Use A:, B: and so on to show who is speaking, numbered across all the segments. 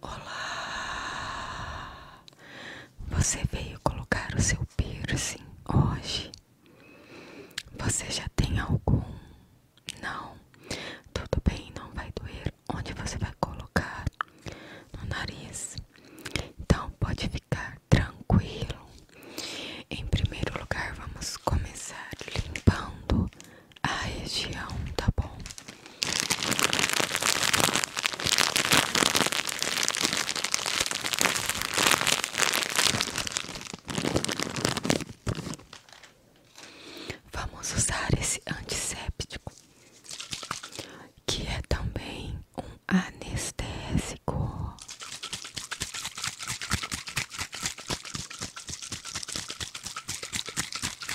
A: Olá! Você veio colocar o seu piercing hoje? Você já tem algum? Não? Tudo bem, não vai doer. Onde você vai colocar? No nariz. Então pode ficar tranquilo. Em primeiro lugar, vamos começar limpando a região, tá bom? Vamos usar esse antisséptico, que é também um anestésico.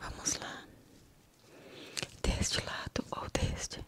A: Vamos lá, deste lado ou deste?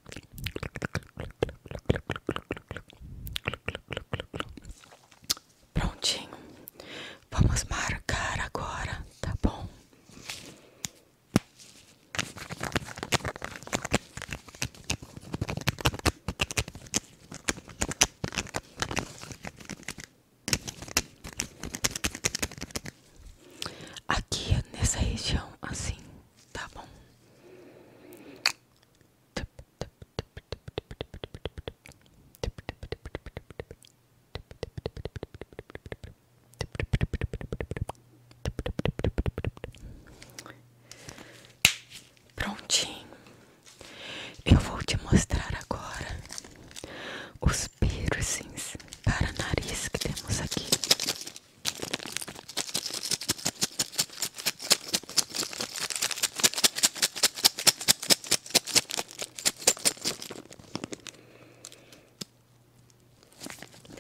A: Prontinho. Vamos marcar agora, tá bom? Aqui nessa região, assim, tá bom? Prontinho, eu vou te mostrar agora os piercings para nariz que temos aqui.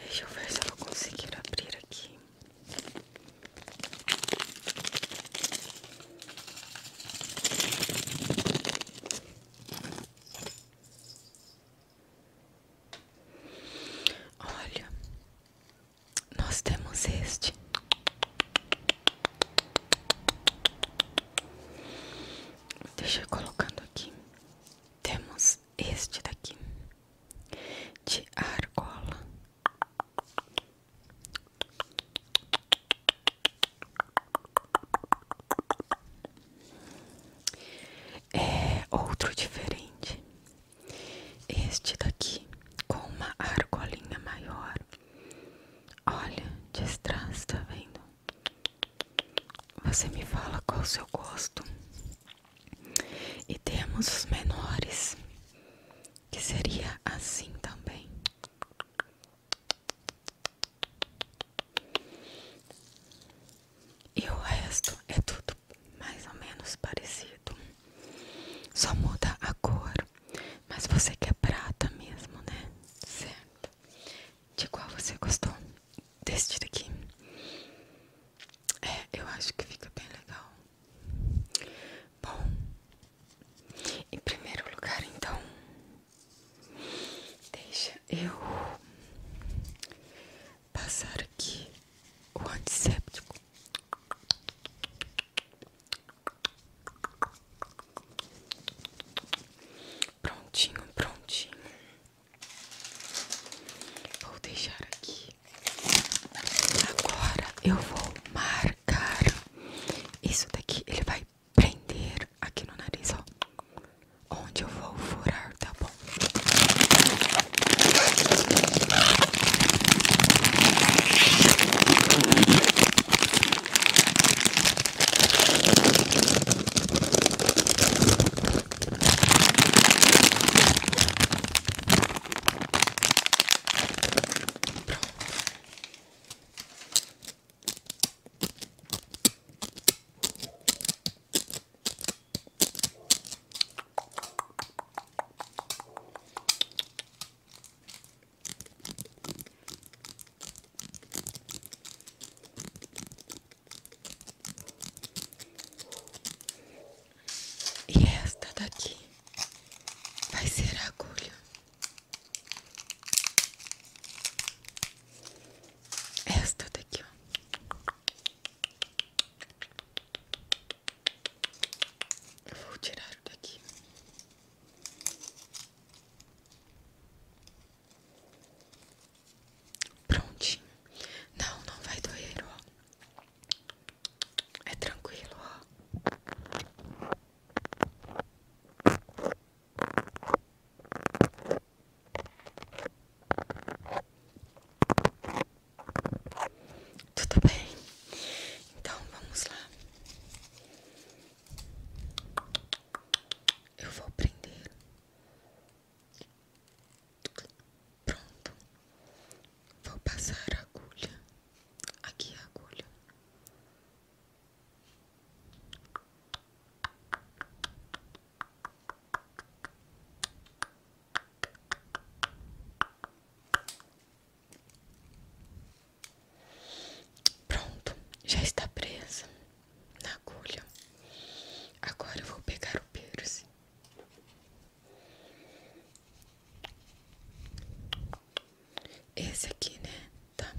A: Deixa eu ver se eu vou conseguir abrir aqui. Olha, nós temos este Deixa eu colocando aqui Temos este daqui De argola é outro diferente. Este daqui com uma argolinha maior. Olha, de trás, tá vendo? Você me fala qual o seu gosto. E temos os menores, que seria assim também. E o resto é tudo mais ou menos parecido. Só muda a cor. Mas você quer é prata mesmo, né? Certo. De qual você gostou? Deste daqui. É, eu acho que fica bem legal. Bom, em primeiro lugar, então, Deixa eu passar aqui o antisséptico. Prontinho, prontinho. Vou deixar aqui. Agora eu vou marcar isso daqui. Ele vai prender aqui no nariz, ó. Onde eu vou furar, tá bom? E esta daqui vai ser agulha esta daqui, vou tirar daqui. Prontinho. Não, não vai doer, ó. É tranquilo, ó. Tudo bem? Então vamos lá. Eu vou prender. Pronto. Vou passar agulha. Aqui é a agulha. Pronto, já está presa na agulha. Agora eu vou pegar o piercing. Esse aqui, né? Tá.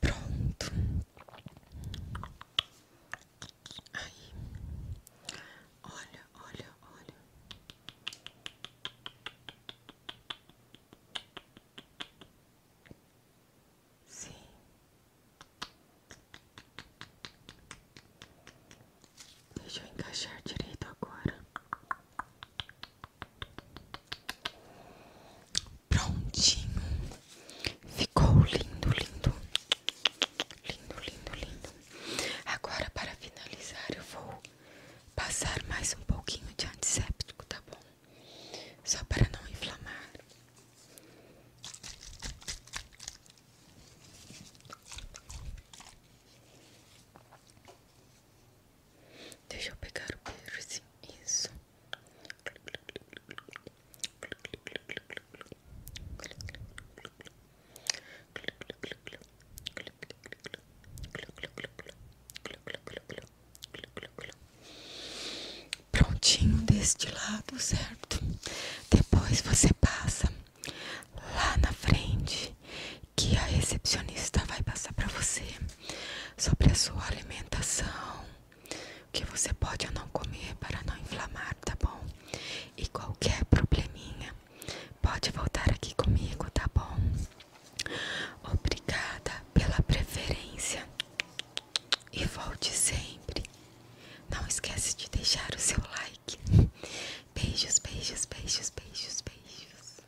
A: Pronto. Aí. Olha, olha, olha. Sim. Deixa eu encaixar direito agora. Prontinho. Ficou lindo, lindo. Lindo, lindo, lindo. Agora para finalizar eu vou passar mais um pouquinho de antisséptico, tá bom? Só para não inflamar. Deixa eu pegar o piercing, isso. Prontinho deste lado, certo? Depois você passa lá na frente que a recepcionista vai passar para você sobre a sua alimentação, o que você pode não comer para não inflamar, tá bom? E qualquer probleminha Pode voltar aqui comigo, tá bom? Obrigada pela preferência. E volte sempre. Não esquece de deixar o seu like. Beijos, beijos, beijos, beijos, beijos.